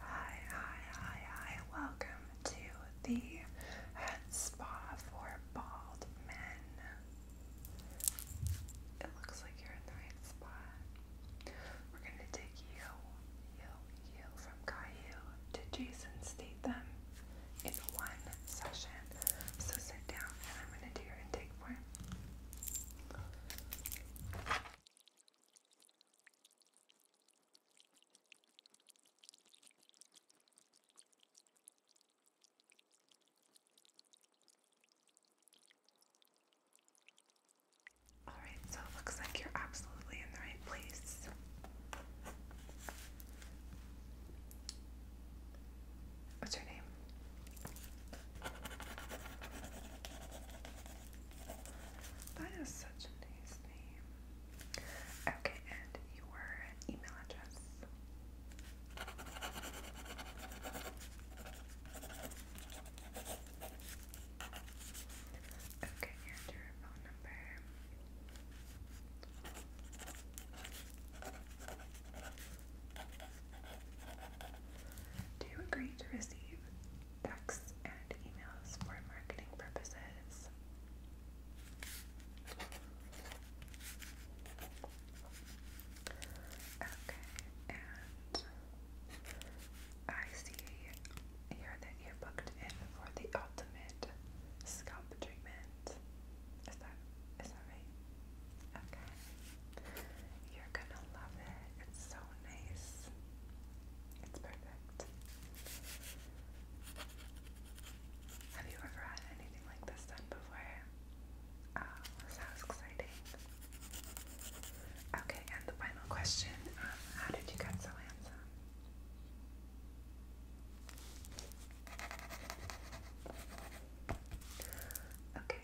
Hi, hi, hi, hi. Welcome to the head spa for bald men. It looks like you're in the right spot. We're gonna take you, you, you from Caillou to Jason Statham in one session. So sit down and I'm gonna do your intake form. Alright, so it looks like you're absolutely in the right place. What's your name? That is such a nice name. Okay, and your email address. Okay, and your phone number. Do you agree to receive texts and emails for marketing purposes. Okay, and I see here that you booked in for the ultimate scalp treatment. Is that is that right? Okay. You're gonna love it. It's so nice. It's perfect. Have you ever had anything like this done before? Oh, exciting. Okay, and the final question um, How did you get so handsome? Okay,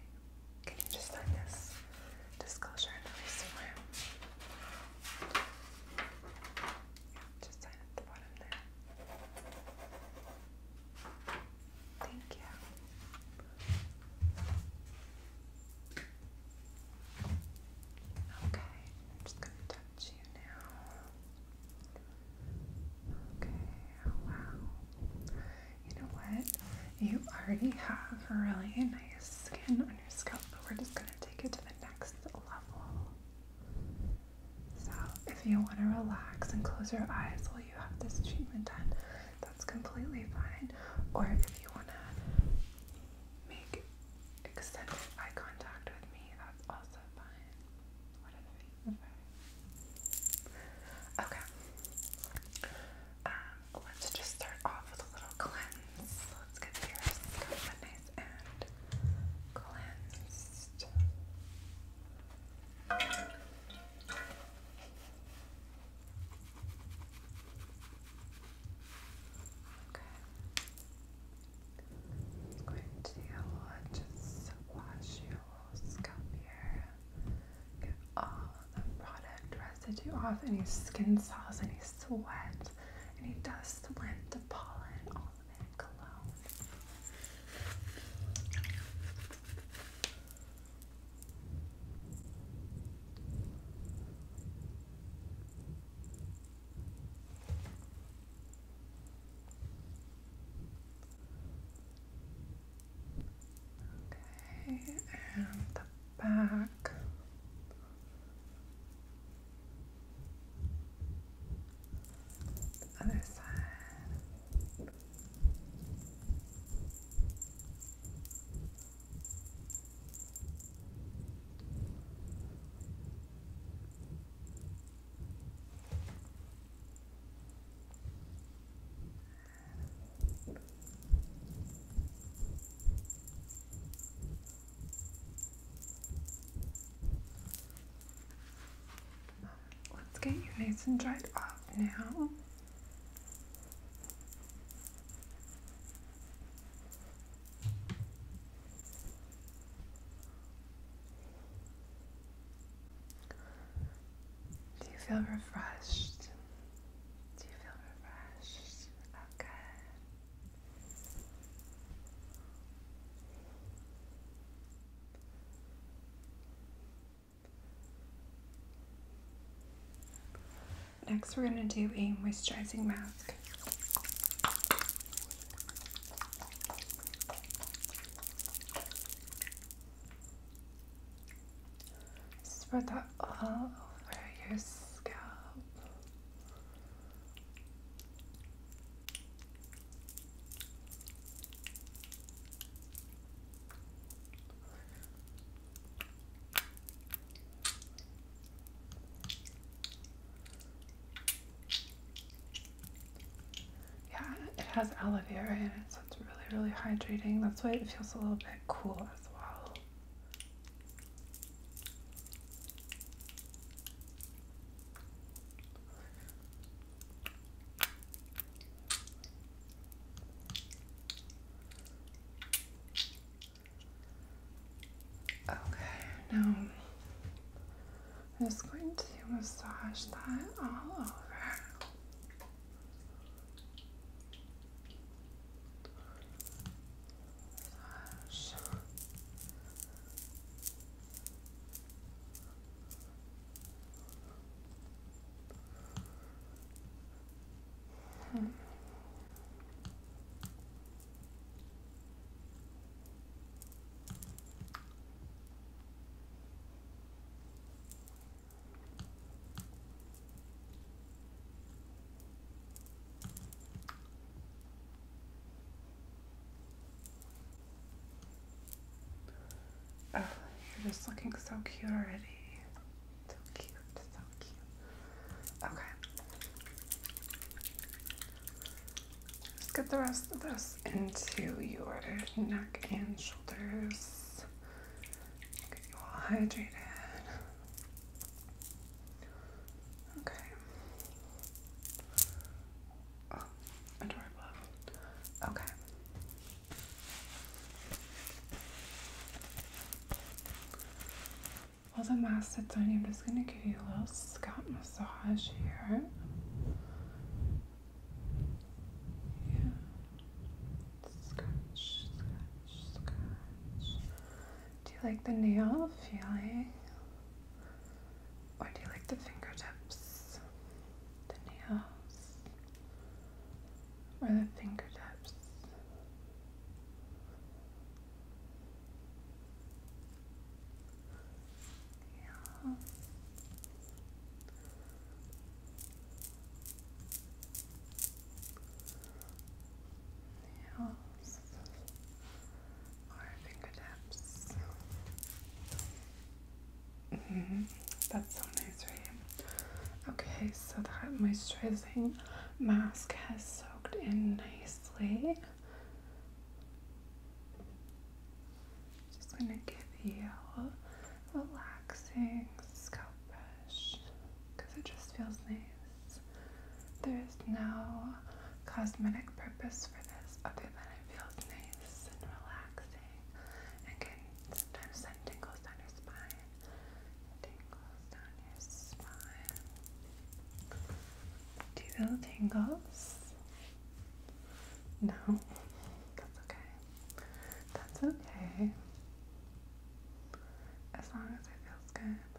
can you just sign this disclosure and release just sign at the bottom there. Thank you. Okay, I'm just gonna touch you now. Okay, Wow. You know what? You already have really nice skin on your scalp, but we're just going to take it to the next level. So, if you want to relax and close your eyes while you have this treatment done, that's completely fine. Or if you want to make extended eye contact with me, that's also fine. Whatever you prefer. Okay. Um, let's just start off with a little cleanse. Let's get your scalp nice and cleansed. Okay. I'm going to just wash your towels. Come here. Get all the product residue off, any skin cells, any sweat, any dust, lint, the pollen, all of it, cologne. Okay, and the back. The other side. Let's get you nice and dried off now. Do you feel refreshed? Do you feel refreshed? Okay. Next, we're going to do a moisturizing mask. Spread that all over your scalp. Yeah, it has aloe vera in it, so it's really, really hydrating. That's why it feels a little bit cool as well. Okay, now I'm just going to massage that all over. Massage. Hmm. Oh, you're just looking so cute already. So cute, so cute. Okay. Just get the rest of this into your neck and shoulders. Get you all hydrated. Okay. Oh, adorable. Okay. While the mask sits on you, I'm just going to give you a little scalp massage here. Yeah. Do you like the nail feeling? Or do you like the fingertips? The nails? Or the fingertips? Yeah. Nails or fingertips. -hmm. That's so nice, right? Okay, so that moisturizing mask has soaked in nicely. Just going to give you a relaxing scalp brush because it just feels nice. There's no cosmetic purpose for this other than it feels nice and relaxing and sometimes send tingles down your spine. Tingles down your spine. Do you tangles? No, that's okay. That's okay. As long as it feels good.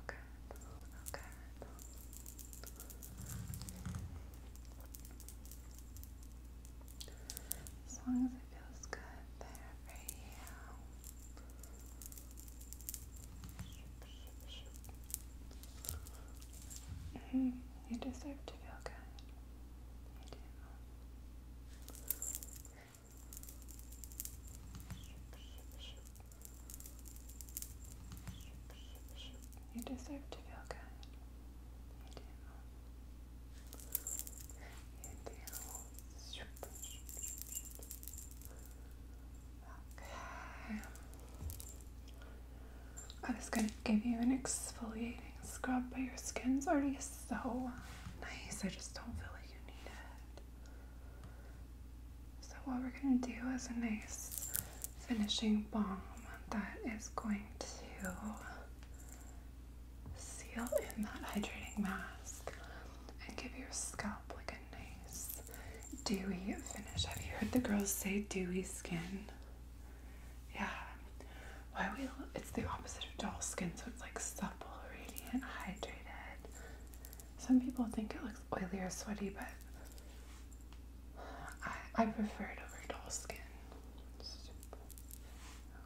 Okay, oh, okay. Oh, as long as it feels good there for you. Mm-hmm. you deserve to feel good. You deserve to feel good. You do. You do. Okay. I was going to give you an exfoliating scrub, but your skin's already so nice. I just don't feel like you need it. So, what we're going to do is a nice finishing balm that is going to seal in that hydrating mask and give your scalp like a nice dewy finish. Have you heard the girls say dewy skin? Yeah. Why we it's the opposite of dull skin, so it's like supple, radiant, hydrated. Some people think it looks oily or sweaty, but I, I prefer it over dull skin.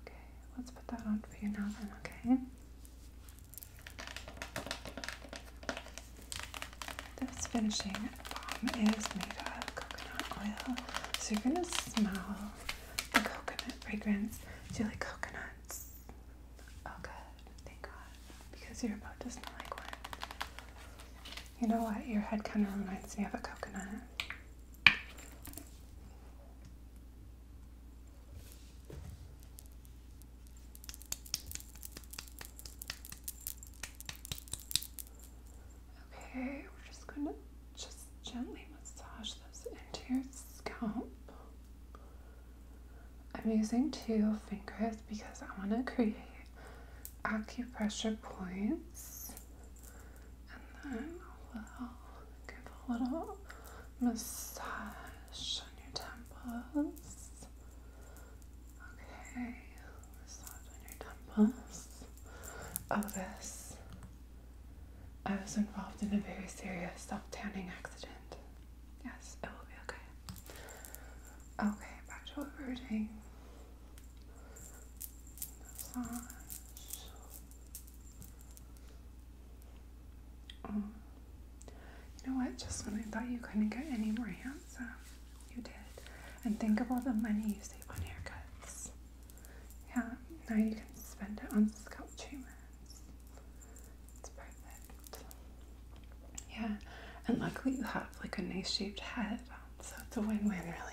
Okay, let's put that on for you now then, okay? This finishing bomb is made of coconut oil. So you're gonna smell the coconut fragrance. Do you like coconuts? Oh good, thank God. Because you're about to smell like one. You know what? Your head kind of reminds me of a coconut. Okay, we're just going to just gently massage this into your scalp. I'm using two fingers because I want to create acupressure points and then i will give a little massage on your temples. Okay, massage on your temples. Oh, this. I was involved in a very serious self tanning accident. Yes, it will be okay. Okay, back to what we were doing. Massage. Um, you know what? Just when I thought you couldn't get any more handsome, you did. And think of all the money you save on haircuts. Yeah, now you can spend it on scalp treatments. It's perfect. Yeah, and luckily you have like a nice shaped head, so it's a win-win, really.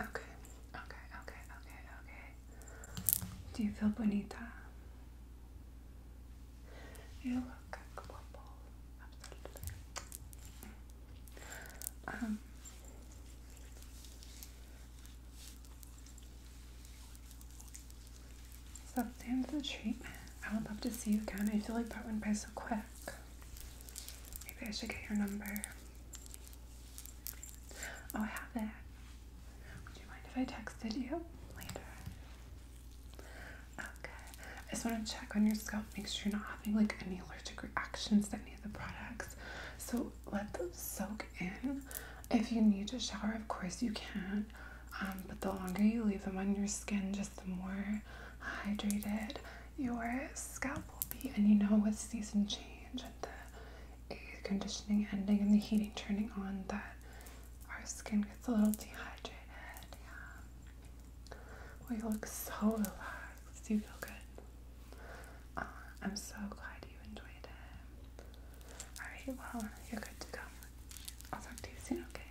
Okay, okay, okay, okay, okay. Do you feel bonita? You look global, absolutely. so the end of the treatment, I would love to see you again. I feel like that went by so quick. Maybe I should get your number. Oh, I have it. Would you mind if I texted you later? Okay. I just want to check on your scalp, make sure you're not having like any allergic reactions to any of the products. So let them soak in. If you need to shower, of course you can. Um, but the longer you leave them on your skin, just the more hydrated your scalp will be. And you know, with season change and the air conditioning ending and the heating turning on, that our skin gets a little dehydrated. Yeah. Well, you look so relaxed. You feel good. Uh, I'm so glad you enjoyed it. Alright, well, you're good to go. I'll talk to you soon, okay?